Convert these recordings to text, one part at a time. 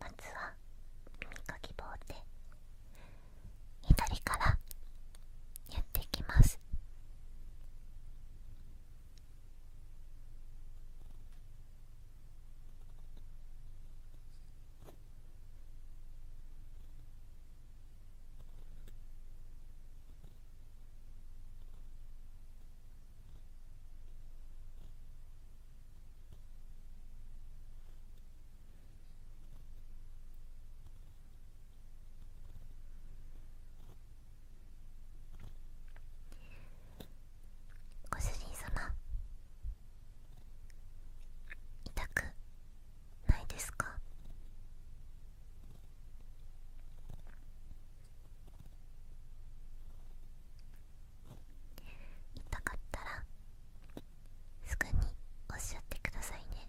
まずは耳かき棒で左からやっていきますご主人様痛くないですか痛かったらすぐにおっしゃってくださいね…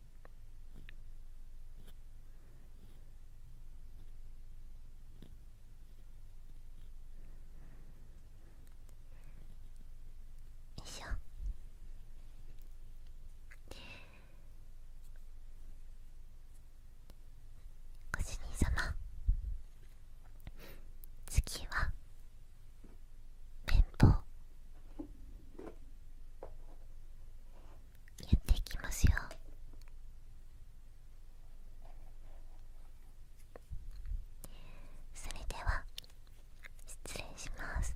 よいしょご主人様次は綿棒やっていきますよそれでは失礼します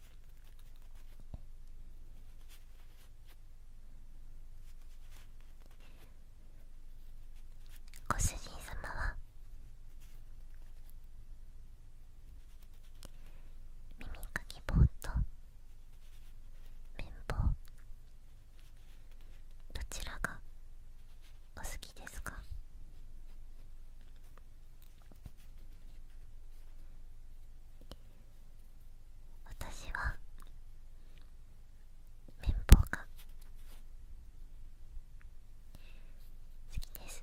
ご主人様は耳かき棒と綿棒どちらがお好きですか私は綿棒が好きです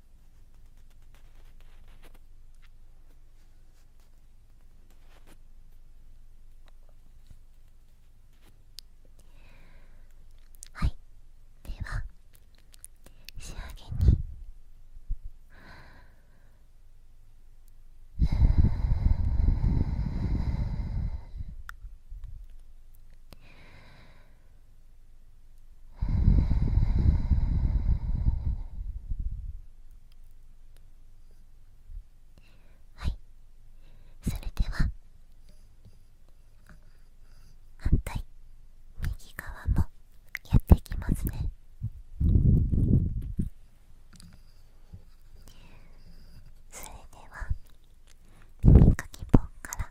はいでは仕上げにはいそれでは反対右側もやっていきますねそれでは耳かき棒から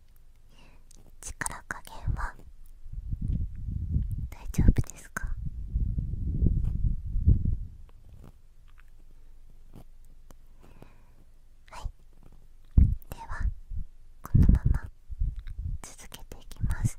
力加減は大丈夫ですかはいではこのまま続けていきます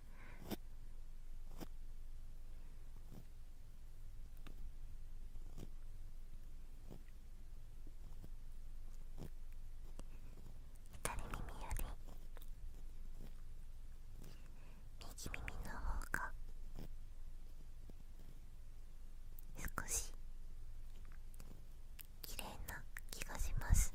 左耳より右耳の方が少し綺麗な気がします。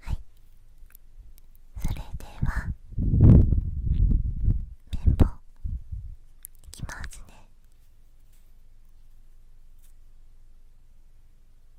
はいそれでは綿棒いきますね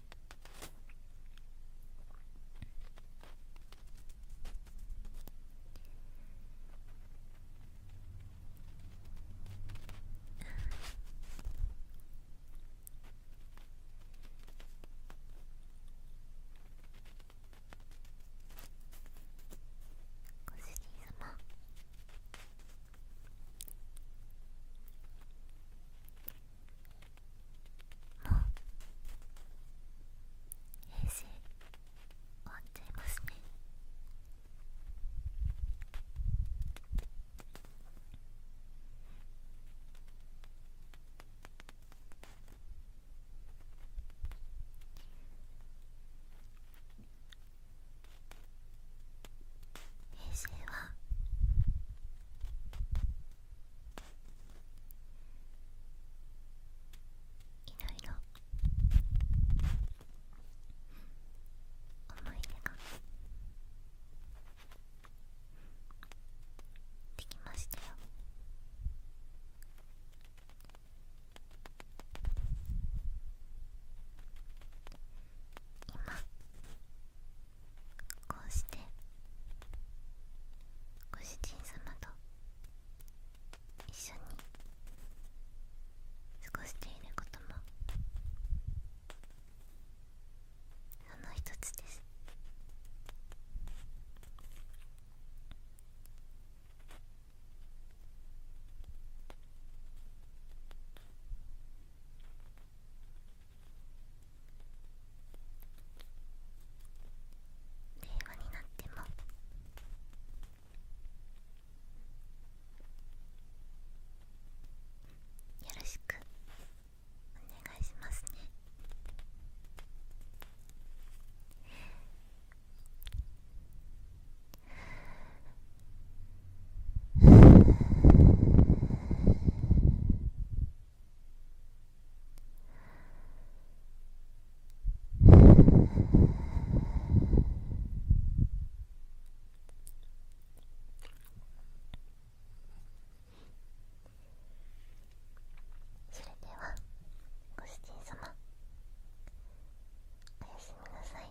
ご主人様もう平成終わっちゃいますね平成はいろいろ思い出ができましたよ今こうしてご主人様と一緒に過ごしていることもその一つです和になってもよろしくお願いしますねそれではご主人様おやすみなさい。